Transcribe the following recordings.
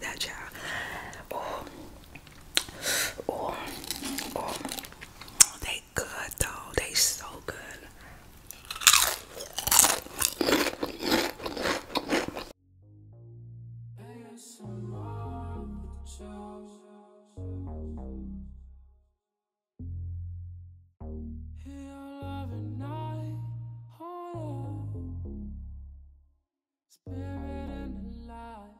that child. Oh, oh, oh, they good though. They so good. Spirit and the light.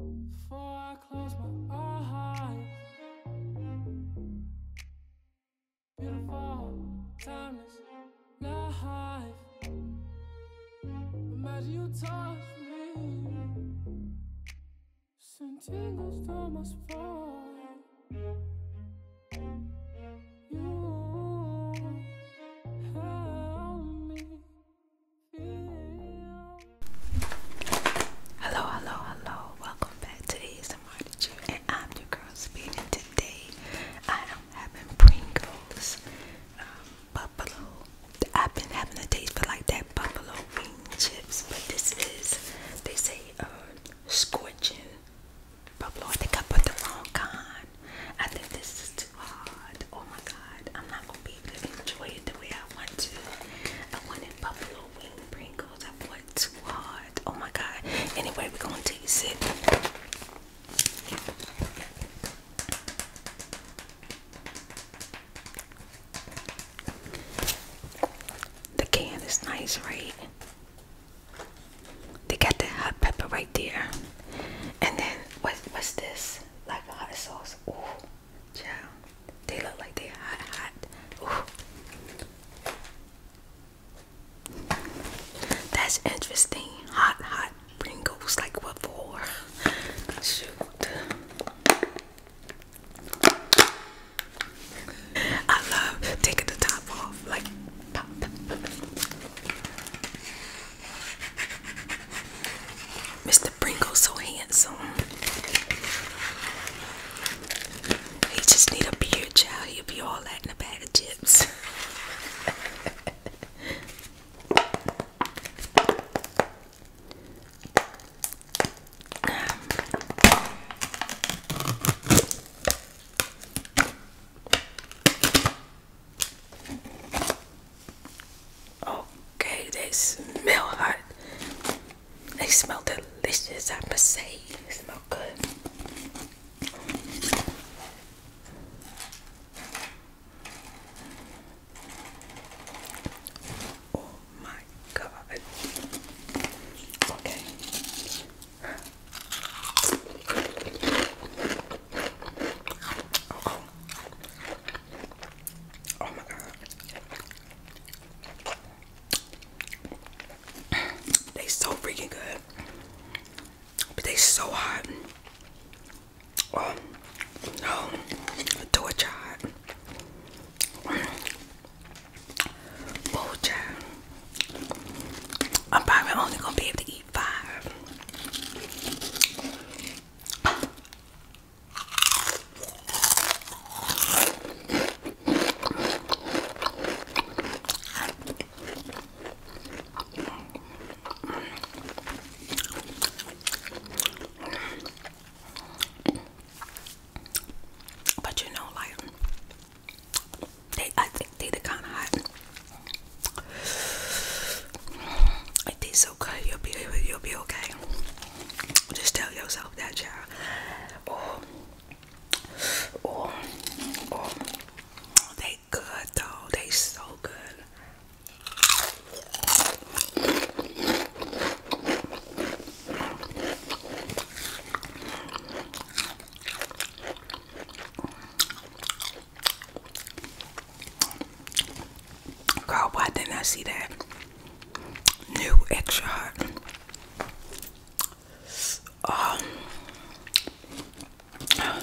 Before I close my eyes. Beautiful, timeless life. Imagine you touch me. Sentinels tingles down my spine. Hello, hello, hello. Welcome back to ASMR to you and I'm your girl Speed today I am having Pringles um, buffalo. I've been having a taste for like that buffalo wing chips, but this is they say uh scorching Pablo, I think I put the wrong kind. I think this is too hard. Oh my god, I'm not gonna be able to enjoy it the way I want to. I wanted buffalo wing Pringles. I put too hard. Oh my god. Anyway, we're gonna taste it. The can is nice, right? They got the hot pepper right there. And then what what's this? Like hot sauce. Ooh. Child. They look like they're hot hot. Ooh. That's interesting. Hot hot Pringles like what for? Shoot. I love taking the top off like Mr. Pringle's so handsome. He just need a beard, child. He'll be all that in a bag of chips. Okay, they smell hot. They smell delicious, I must say. They smell good. Oh my god. Okay. Oh, oh. my god. They so freaking good. But they are so hot. Oh, no. Do it, child. Bull child. I'm probably only gonna be able to eat five. But you know, like they, I think they the kind of hot. It tastes so good. You'll be, you'll be okay. Just tell yourself that, child. Oh, oh. oh. They good though. They so good. Girl, why didn't I see that? New extra hot. Um, um,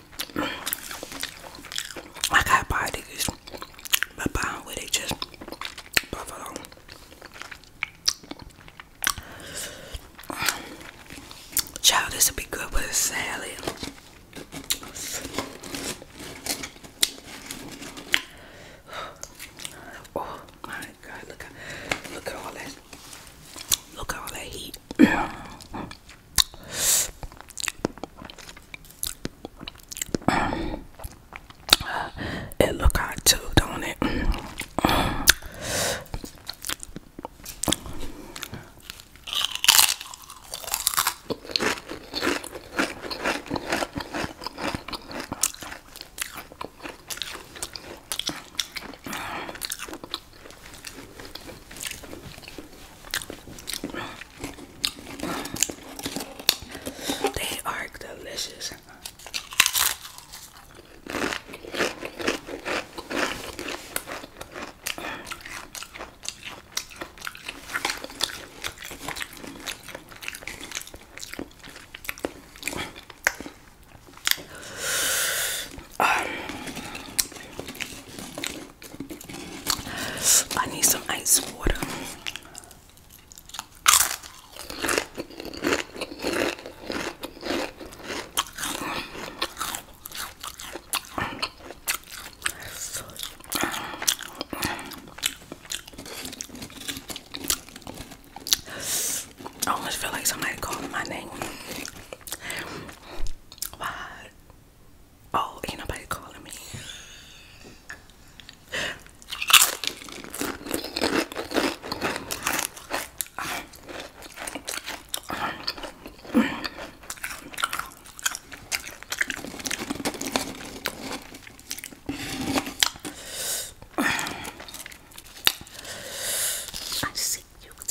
I got buy but buy just Child, this would be good with a salad. Oh my God! Look at look at all that look at all that heat. It look hot too, don't it? They are delicious. Um, I need some ice water. I almost feel like somebody called my name. Why Oh, ain't nobody calling me. I see you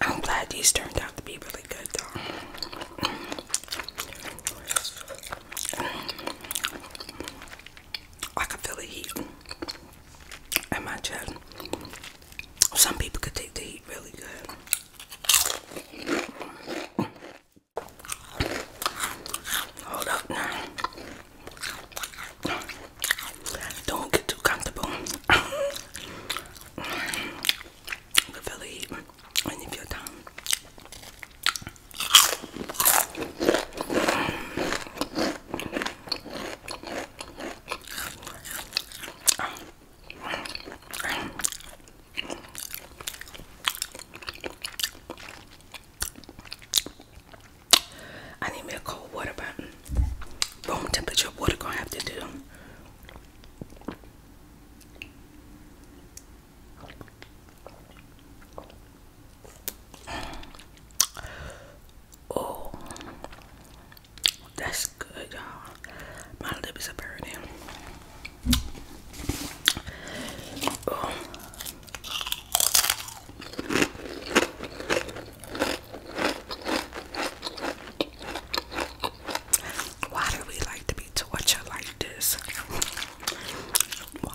I'm glad these turned out to be really good though. I could feel the heat in my chest. Some people could take the heat really good. Hold up now. Don't get too comfortable. You can feel it eat and if your tongue. I need me a cold water button. Room temperature water gonna have to do. Oh, that's good, y'all. My lips are burning. Oh. Why do we like to be tortured like this? Why?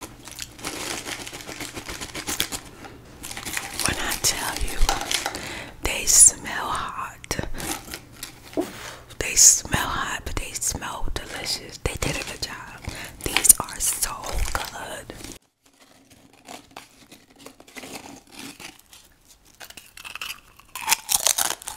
When I tell you they smell hot, they smell hot, but they smell delicious. They did a good job. These are so good.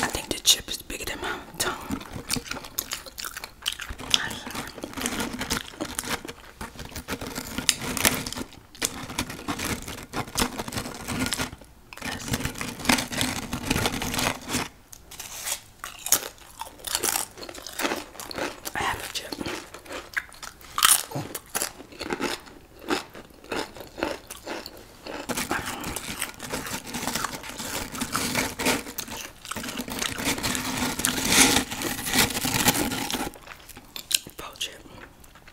I think the chip is bigger than my tongue. Let's see. I have a chip. Oh. Poach it.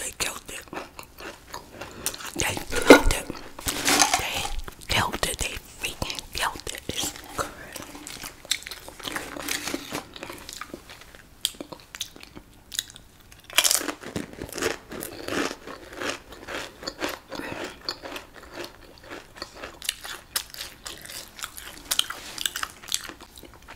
They killed it. They killed it. They killed it. They freaking killed it. It's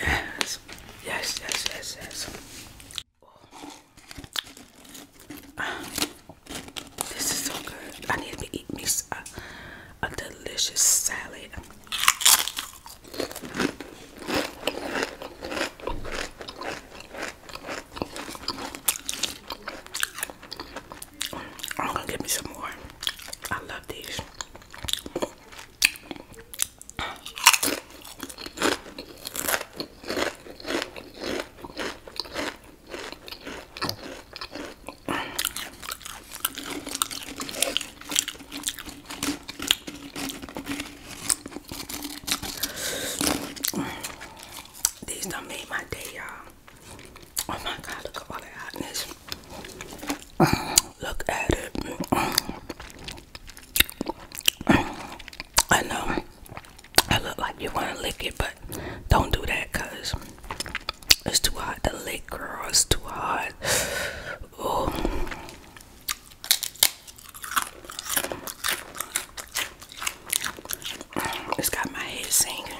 Yes, yes, yes, yes, yes. Oh. Uh, this is so good. I need to eat me a, a delicious salad. I'm gonna get me some more. I love these. These done made my day, y'all. Oh my god, look at all that hotness. Look at it. I know I look like you want to lick it, but don't do that because it's too hot to lick, girl. It's too hot. Ooh. It's got my head sinking.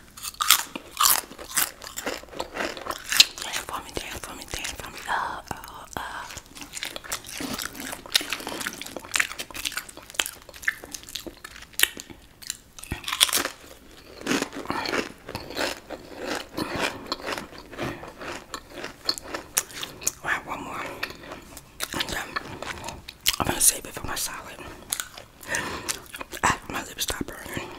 Dance for me, dance for me, dance for me. Uh, uh, uh. All right, one more. And I'm gonna save it for my salad. my lips stop burning.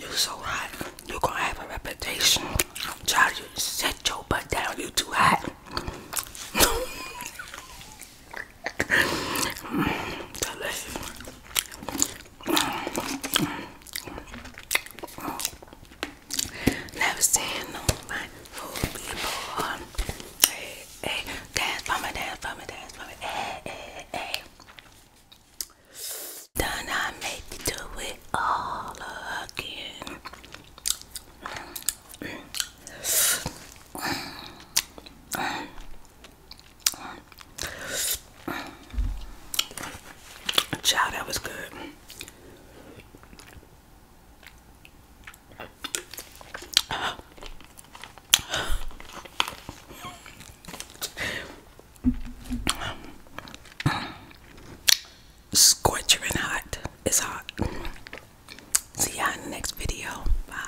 You're so hot. You're gonna have a reputation. Try to set your butt down, you too hot. Never seen no man food before. Hey, hey, dance for me, dance for me, dance for me. Hey, hey, hey. Then I make you do it all again. Child, that was good scorching hot. It's hot. See you in the next video. Bye.